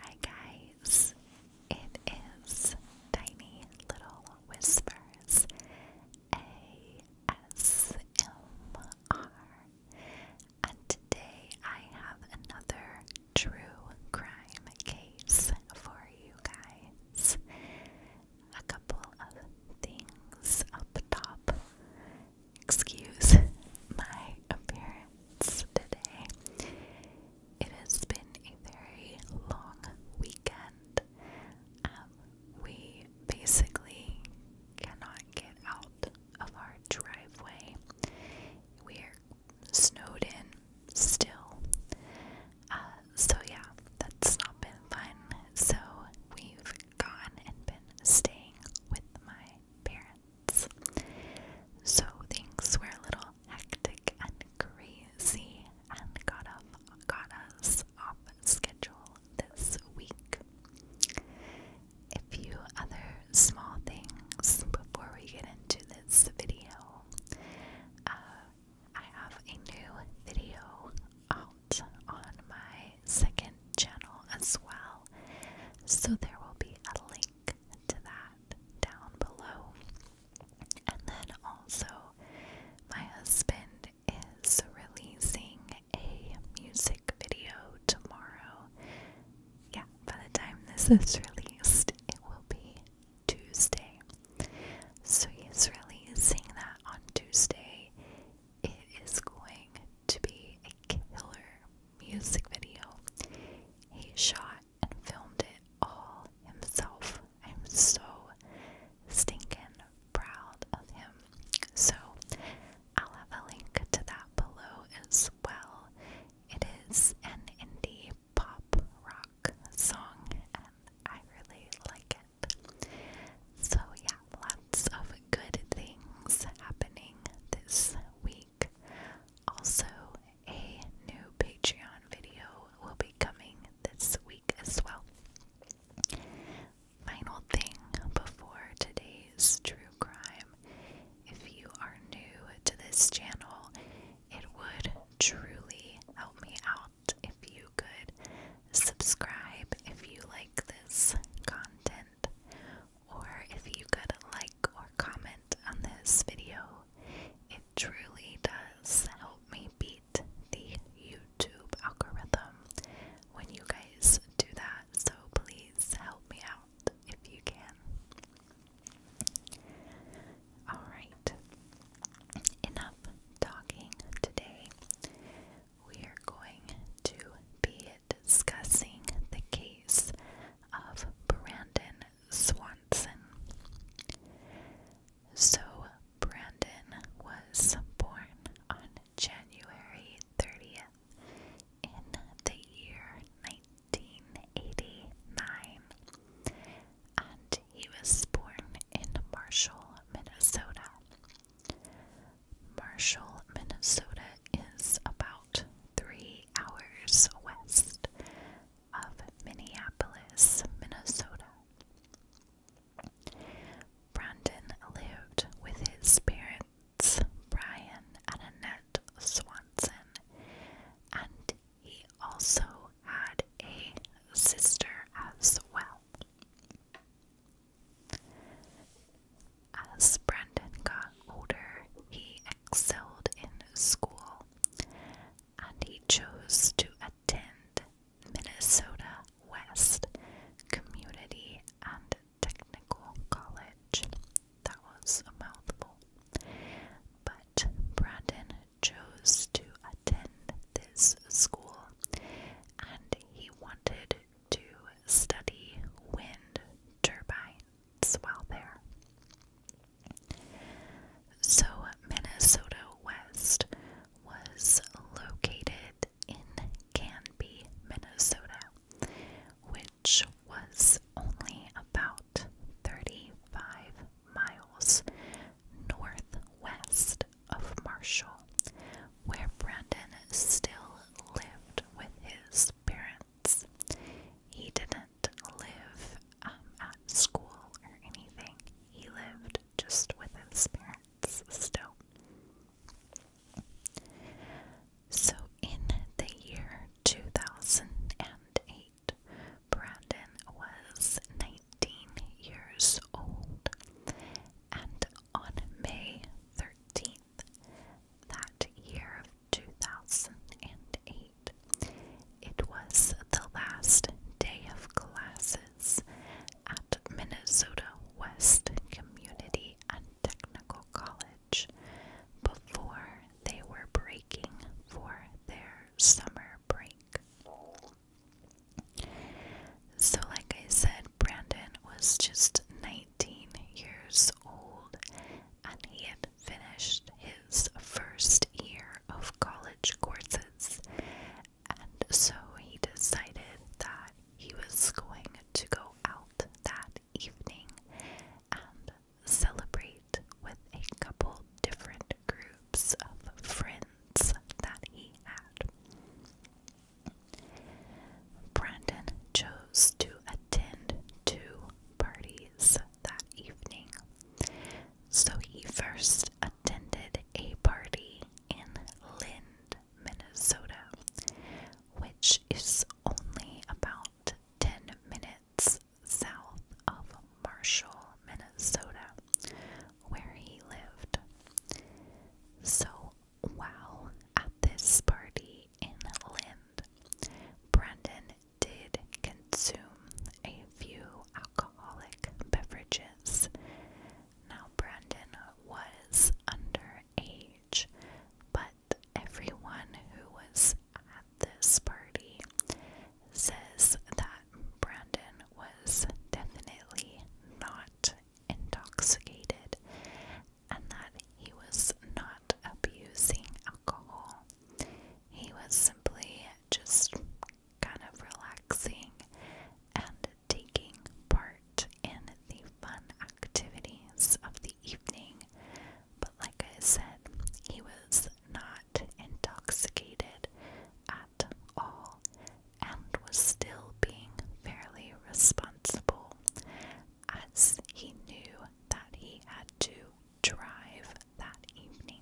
Hi guys, it is Tiny Little Whispers ASMR, and today I have another true crime case for you guys. A couple of things up top. Excuse my appearance today. It has been a very long weekend. Um, we basically cannot get out of our driveway. We're snowed in still. Uh, so, yeah, that's not been fun. So, we've gone and been staying with my parents. So things were a little hectic and crazy and got, us got us off schedule this week. A few other small things before we get into this video. Uh, I have a new video out on my second channel as well, so there will be a link to that down below. And then also, my husband is releasing a music video tomorrow. Yeah, by the time this is released, it will be Tuesday. So he's releasing that on Tuesday. It is going to be a killer music video. He shot and filmed it all himself. I'm so stinking proud of him. So I'll have a link to that below as well. It is an indie pop rock song and I really like it. So yeah, lots of good things happening this week. Also, a new Patreon video will be coming this week as well. Final thing before today's true crime if you are new to this channel, it would truly help me out if you could subscribe if you like this content or if you could like or comment on this video. It truly does help me beat the YouTube algorithm when you guys do that, so please help me out if you can. Alright, enough talking today. We are going to be discussing the case of Brandon Swanson. So, Brandon was born on January 30th in the year 1989, and he was born in Marshall, Minnesota. Marshall, Minnesota is about three hours west of Minneapolis, Minnesota. Brandon lived with his parents, Brian and Annette Swanson, and he also had a sister as well. As Brandon got older, he excelled in school and he chose to attend Minnesota West Community and Technical College. That was a mouthful. But Brandon chose to attend this school and he wanted to study wind turbine swell there. So, Minnesota West was located in Canby, Minnesota, which was only about 35 miles northwest of Marshall, where Brandon still lived with his parents. He didn't live um, at school or anything, he lived just with his parents still. So, in the year 2008, Brandon was 19 years old, and on May 13th, that year 2008. It was the last day of classes at Minnesota West Community and Technical College before they were breaking for their summer break. So, like I said, Brandon was just 19 years old and he had finished his first year of college courses, and so he decided that he was going to go out that evening and celebrate with a couple different groups of friends that he had. Brandon chose to attend two parties that evening. So he first attended a party in Lynn, Minnesota, which is only about 10 minutes south of Marshall, Minnesota, where he lived. So Wow, at this party in Lind, Brendan did consume a few alcoholic beverages. Now, Brendan was under age, but everyone who was at this party says that Brandon was definitely not intoxicated and that he was not abusing alcohol. He was simply just kind of relaxing and taking part in the fun activities of the evening. But like I said, he was not intoxicated at all and was still being fairly responsible as he knew that he had to drive that evening.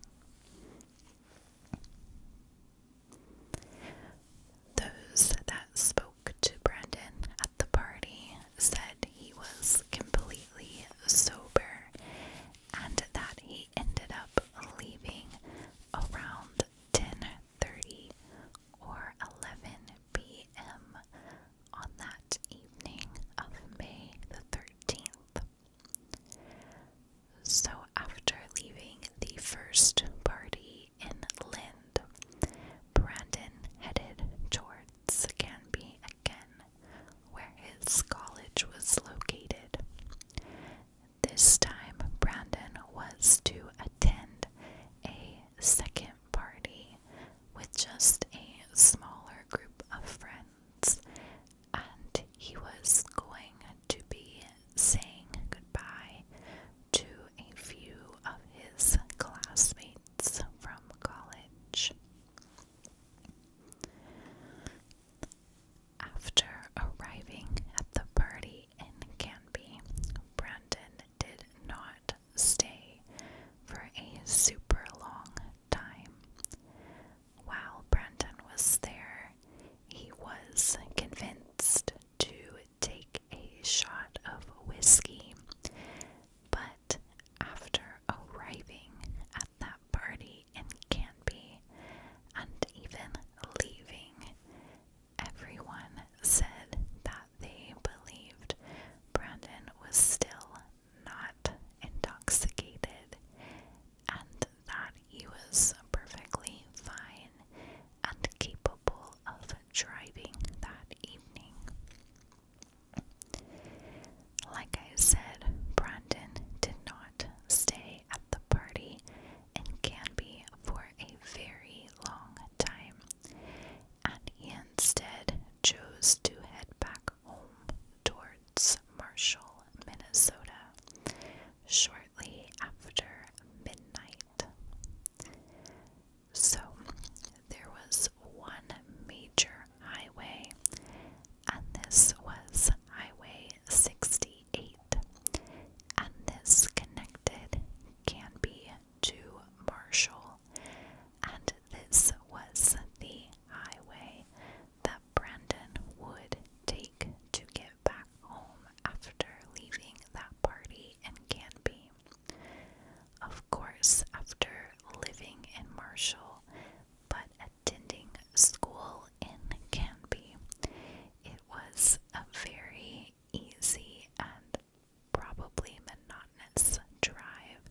Those that spoke to Brandon at the party said he was completely sober and that he ended up leaving around 10:30 or 11 p.m on that evening of May the 13th. So, after leaving the first party in Lind, Brandon headed towards Canby again, where his college was located. This time, Brandon was to attend a second party with just a smaller group of friends, and he was going to be saying goodbye to a few of his classmates from college. After arriving at the party in Canby, Brandon did not stay for a super long time. While Brandon was there, he was convinced to take a shot of whiskey, but after arriving at that party in Canby and even leaving, everyone said that they believed Brandon was still not intoxicated and that he was perfectly fine and capable of driving that evening. Like I said, Brandon did not stay at the party in Canby for a very long time, and he instead chose to head back home towards Marshall, Minnesota, shortly after midnight. So, there was one major highway, and this was Highway 68, and this connected Canby to Marshall, and this was the highway that Brandon would take to get back home after leaving that party in Canby. Of course, after living in Marshall but attending school in Canby, it was a very easy and probably monotonous drive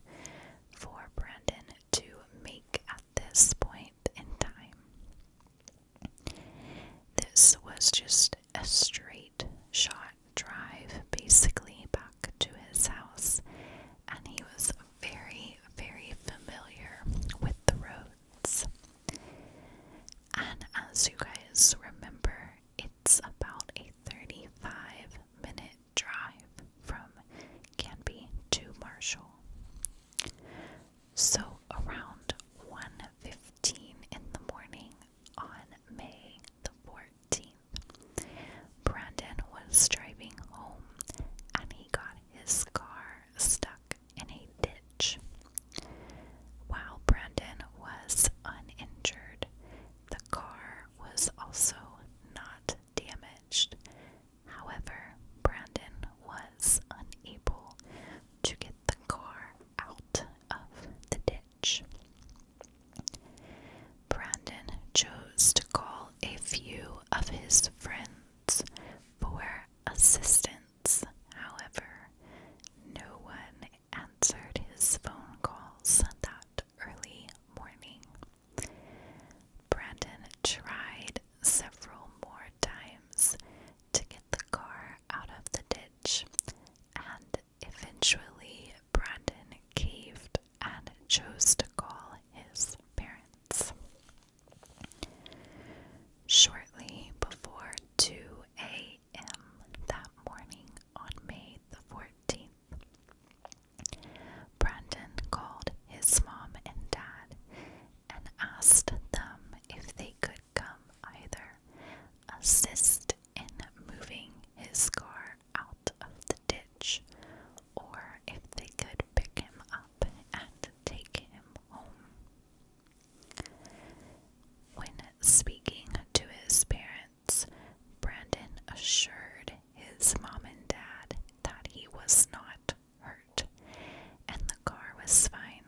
for Brandon to make at this point in time. This was just a straight shot drive basically back to his house, and he was very, very familiar with the roads. And as you guys remember, it's about a 35 minute drive from Canby to Marshall. So around 1:15 in the morning on May the 14th, Brandon was driving home and he got his car stuck in a ditch. While Brandon was uninjured, the car was also not damaged. However, Brandon was unable to get the car out of the ditch. Brandon chose to call a few of his friends for assistance. However, no one answered his phone calls that early morning. Brandon tried several more times to get the car out of the ditch, and eventually Brandon caved and chose to call his parents. Shortly before 2 a.m., that morning on May the 14th. Brandon called his mom and dad and asked them if they could come either assist in moving his car out of the ditch or if they could pick him up and take him home. When speaking to his parents, Brandon assured his mom and dad that he was not hurt and the car was fine,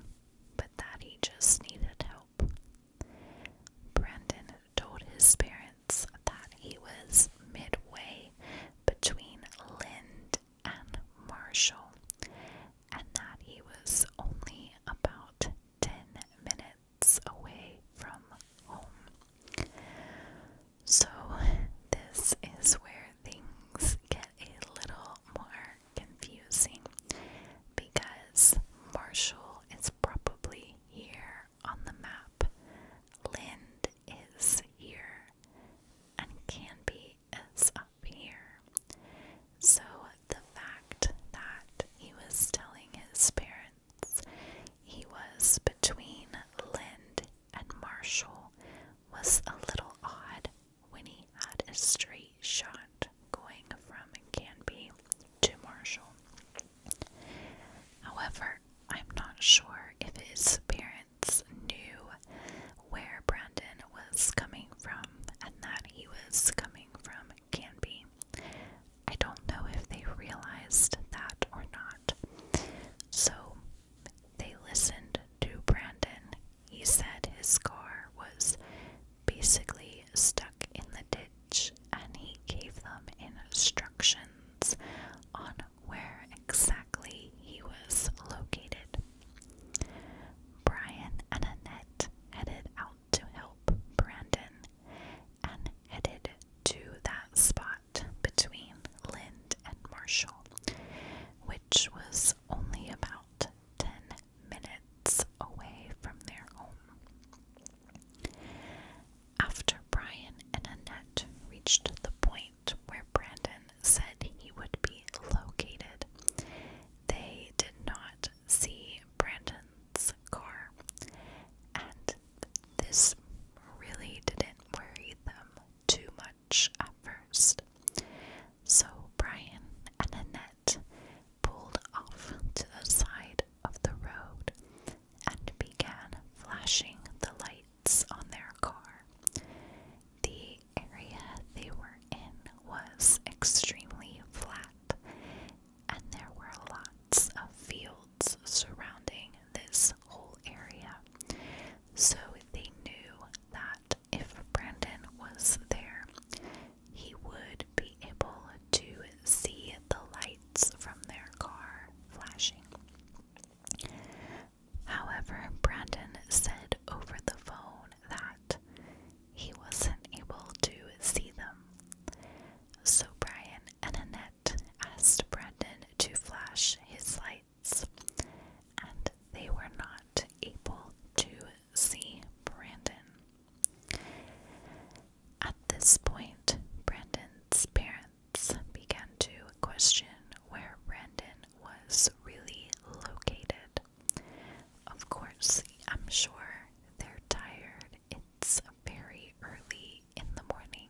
but that he just needed help. Brandon told his parents that he was midway between Lind and Marshall and that he was only about 10 minutes away from home. So, this is where things get a little more confusing because Marshall is probably here on the map, Lind is here, and Canby is up here. So the fact that he was telling his parents he was between Lind and Marshall was a little odd when he had a straight shot going from Canby to Marshall. However, I'm not sure if his parents knew where Brandon was coming from and that he was coming from Canby. I don't know if they realized that or not. So they listened to Brandon. He said his car was basically stuck in the ditch, and he gave them instructions on where exactly he was located. Brian and Annette headed out to help Brandon and headed to that spot between Lind and Marshall, which was only about 10 minutes away from their home. After Brian and Annette reached the point where Brandon said he would be located, they did not see Brandon's car, and this really didn't worry them too much at first. So Brian and Annette pulled off to the side of the road and began flashing the lights on their car. The area they were in was extremely flat, and there were lots of fields surrounding this whole area. So they knew that if Brandon was there, he would be able to see the lights from their car flashing. However, Brandon said over the phone that he wasn't able to see them. So Brian and Annette asked Brandon to flash his lights, and they were not able to see Brandon. At this point, Brandon's parents began to question where Brandon was really located. Of course, I'm sure they're tired. It's very early in the morning,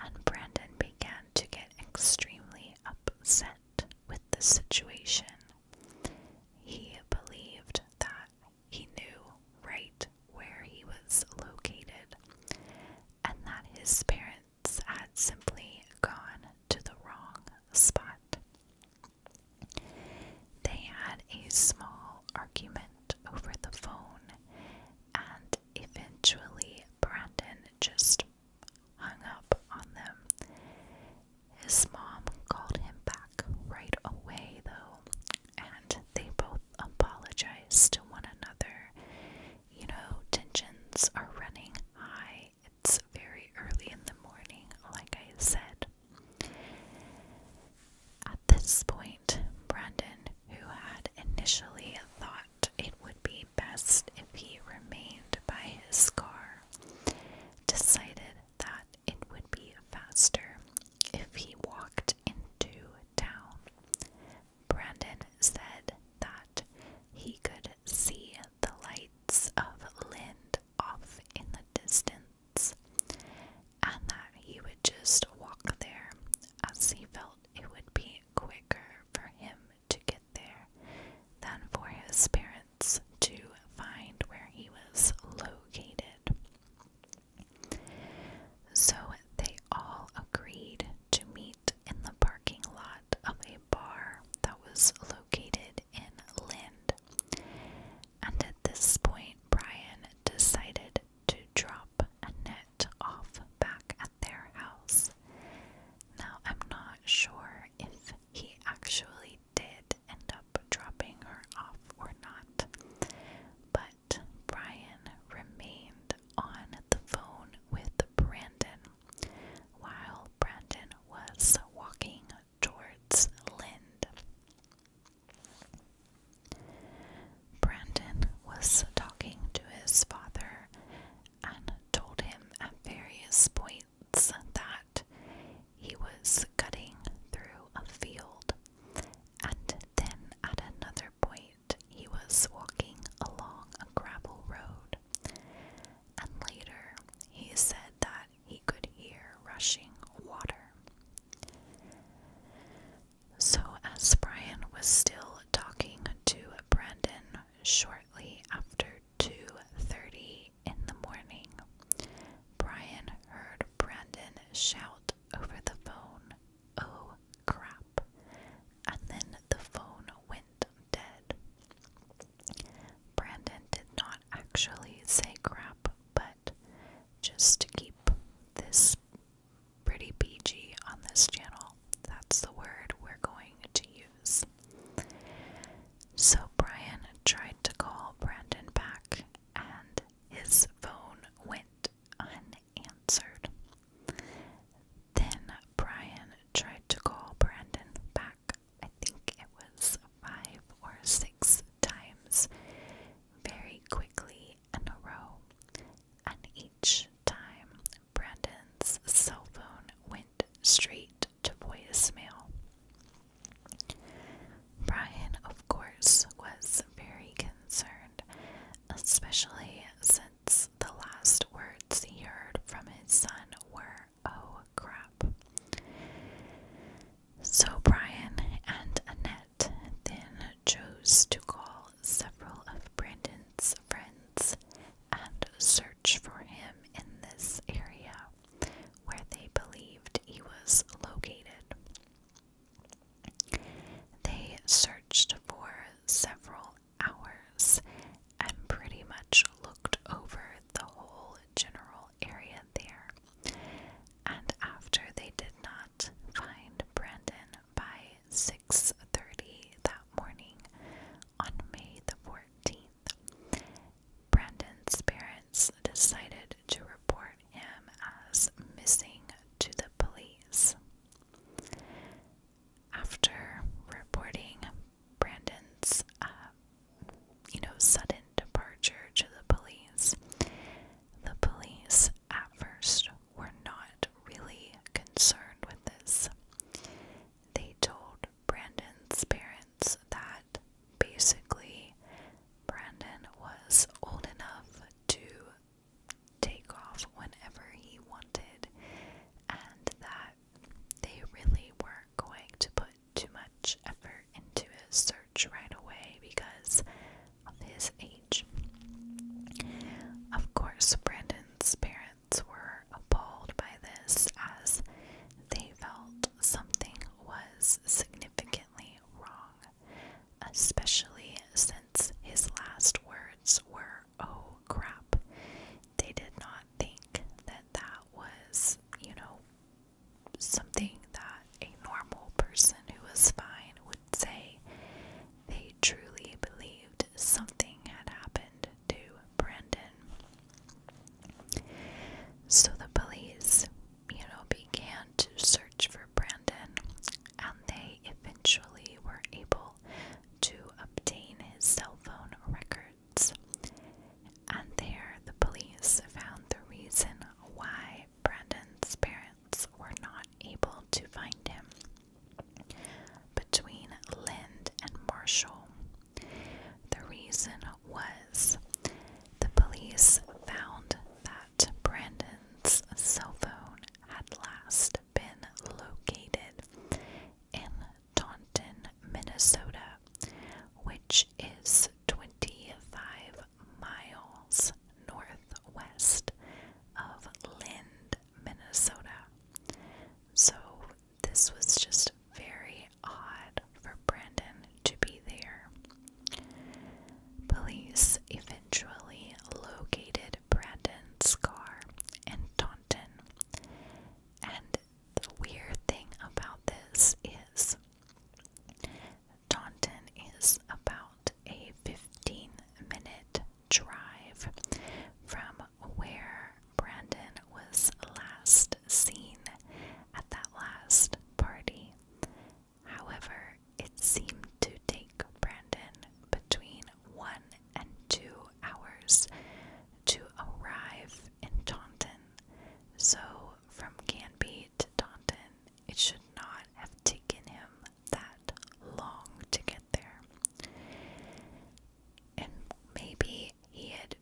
and Brandon began to get extremely upset with the situation. He believed that he knew right where he was located and that his parents had simply gone to the wrong spot. They had a small argument over the phone, and eventually Brandon just hung up on them. His mom called him back right away, though, and they both apologized to one another. You know, tensions are running high. It's very early in the morning, like I said. At this point, Brandon, who had initially thought it would be best if he remained by his car, decided that it would be faster if he walked into town. Brandon said that he could see the lights of Lind off in the distance and that he would just walk there as he felt it would be quicker for him to get there than for his parents to find where he was located. So they all agreed to meet in the parking lot of a bar that was located in Lind, and at this point Brian decided to drop Annette off back at their house. Now, I'm not sure if he actually did end up dropping her off or not, but Brian remained on the phone with Brandon while Brandon was walking towards Lind. Brandon was talking to his father and told him at various points that he was cutting through a field, and then at another point he was walking along a gravel road. And later he said that he could hear rushing water. So, as Brian was still talking to Brandon shortly after 2:30 in the morning, Brian heard Brandon shout over the phone, "Oh crap!" and then the phone went dead. Brandon did not actually say crap, but just to keep this pretty PG on this channel, that's the word we're going to use. So Brian tried to call Brandon back, and his phone went unanswered. Then Brian tried to call Brandon back, I think it was five or six times very quickly in a row, and each time Brandon's cell phone went straight to voicemail. Brian, of course, was very concerned, especially since the last words he heard from his son were, oh crap. So Brian and Annette then chose to call several of Brandon's friends and search for him in this area where they believed he was located. They searched for several hours and pretty much looked over the whole general area there. And after they did not find Brandon by 6:30 that morning on May the 14th, Brandon's parents decided to report him as missing to the police. After reporting Brandon's, uh, you know, sudden departure to the police, the police at first were not really concerned with this. They told Brandon's parents that basically Brandon was old enough to take off whenever he wanted and that they really weren't going to put too much effort into his search right away because of his age. Of course, Brandon's parents were appalled by this as they felt something was significantly wrong, especially since his last words were, oh crap. They did not think that that was, you know, something that a normal person who was fine would say they truly believed something had happened to Brandon. So the police, you know, began to search for Brandon and they eventually were able to obtain his cell phone records. And there, the police found the reason why Brandon's parents were not able to find him. Between Lind and Marshall, the reason was the police found that Brandon's cell phone had last been located in Taunton, Minnesota, which is 25 miles northwest of Lind, Minnesota. So this was just very odd for Brandon to be there. Police eventually located Brandon's car in Taunton and the weird thing about this is Taunton is about a 15 minute drive from where Brandon was last seen at that last party. However, it seemed to take Brandon between one and two hours to arrive in Taunton. So, from Canby to Taunton, it should not have taken him that long to get there. And maybe he had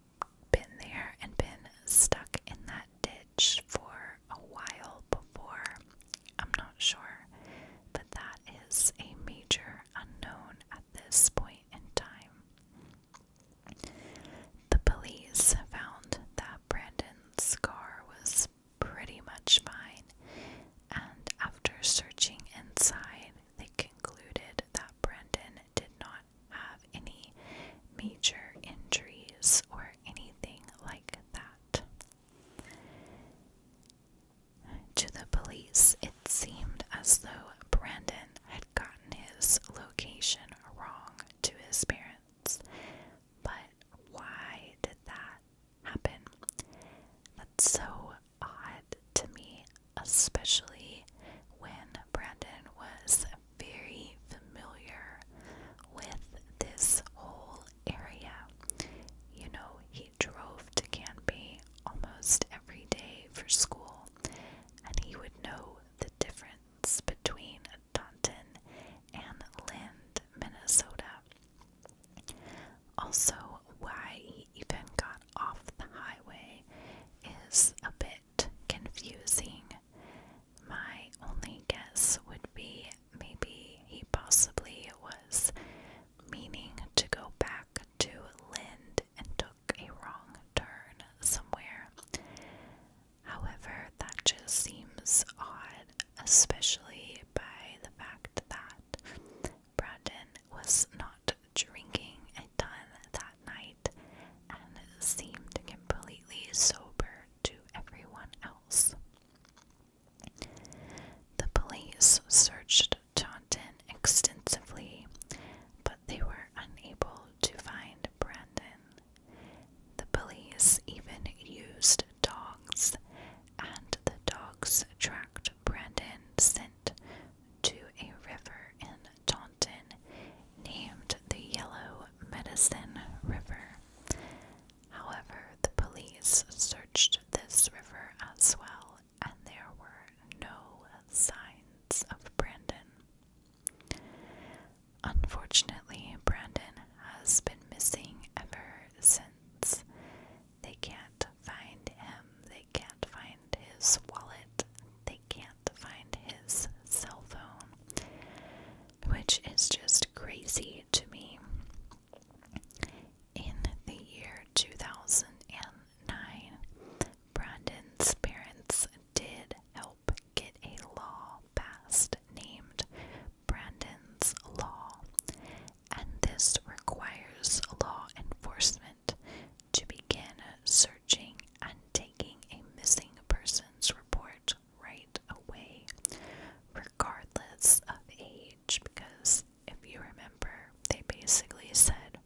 been there and been stuck in that ditch for a while before. I'm not sure, but that is a major unknown at this point in time. The police found that Brandon's scar was pretty much fine, and after searching inside, they concluded that Brandon did not have any major injuries or anything like that. To the police, it seemed as though Brandon had gotten his location wrong to his parents. But why did that happen? That's so odd to me, especially when Brandon was very familiar with this whole area. You know, he drove to Canby almost every day for school, and he would know the difference between Taunton and Lind, Minnesota. Also, why he even got off the highway is a bit confusing. My only guess would be maybe he possibly was meaning to go back to Lind and took a wrong turn somewhere. However, that just seems odd, especially by the fact that Brandon was not drinking at all that night and seemed completely sober to everyone else. The police searched Taunton extensively, but they were unable to find Brandon. The police even used dogs, and the dogs tracked Brandon sent to a river in Taunton named the Yellow Medicine River. However, the police searched this river as well, and there were no signs of Brandon. Unfortunately, Brandon has been missing ever since. They can't find him, they can't find his wallet, they can't find his cell phone, which is just crazy to me. In the year 2009, Brandon's parents did help get a law passed named Brandon's Law, and this requires law enforcement to begin searching and taking a missing persons report right away, regardless of age, because if you remember, they basically said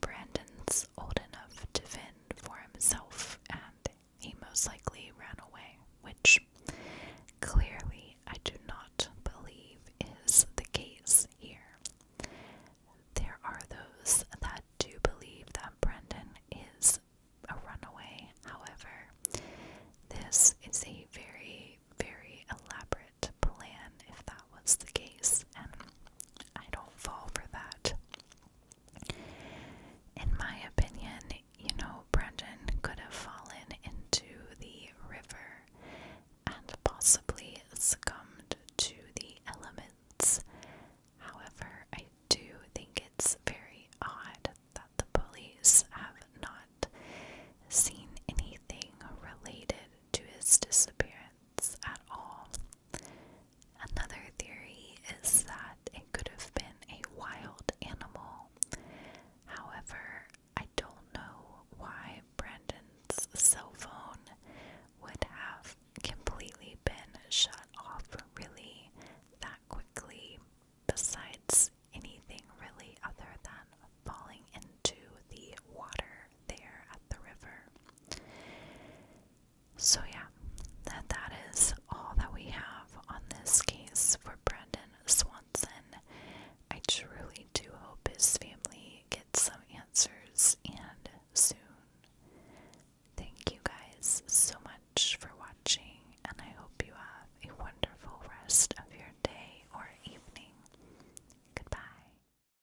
Brandon's old enough to fend for himself, and he most likely ran away, which clearly I do not believe is the case here. There are those that do believe that Brandon is a runaway, however, this is a very, very elaborate plan, if that that was the case, and I don't fall for that. In my opinion, you know, Brandon could have fallen into the river and possibly succumbed to the elements. However, I do think it's very odd that the police have not seen anything related to his disappearance at all. Another theory is that it could have been a wild animal. However, I don't know why Brandon's cell phone would have completely been shut off really that quickly, besides anything really other than falling into the water there at the river. So, yeah, that, that is all that we have on this case for Brandon Swanson. I truly do hope his family gets some answers and soon. Thank you guys so much for watching, and I hope you have a wonderful rest of your day or evening. Goodbye.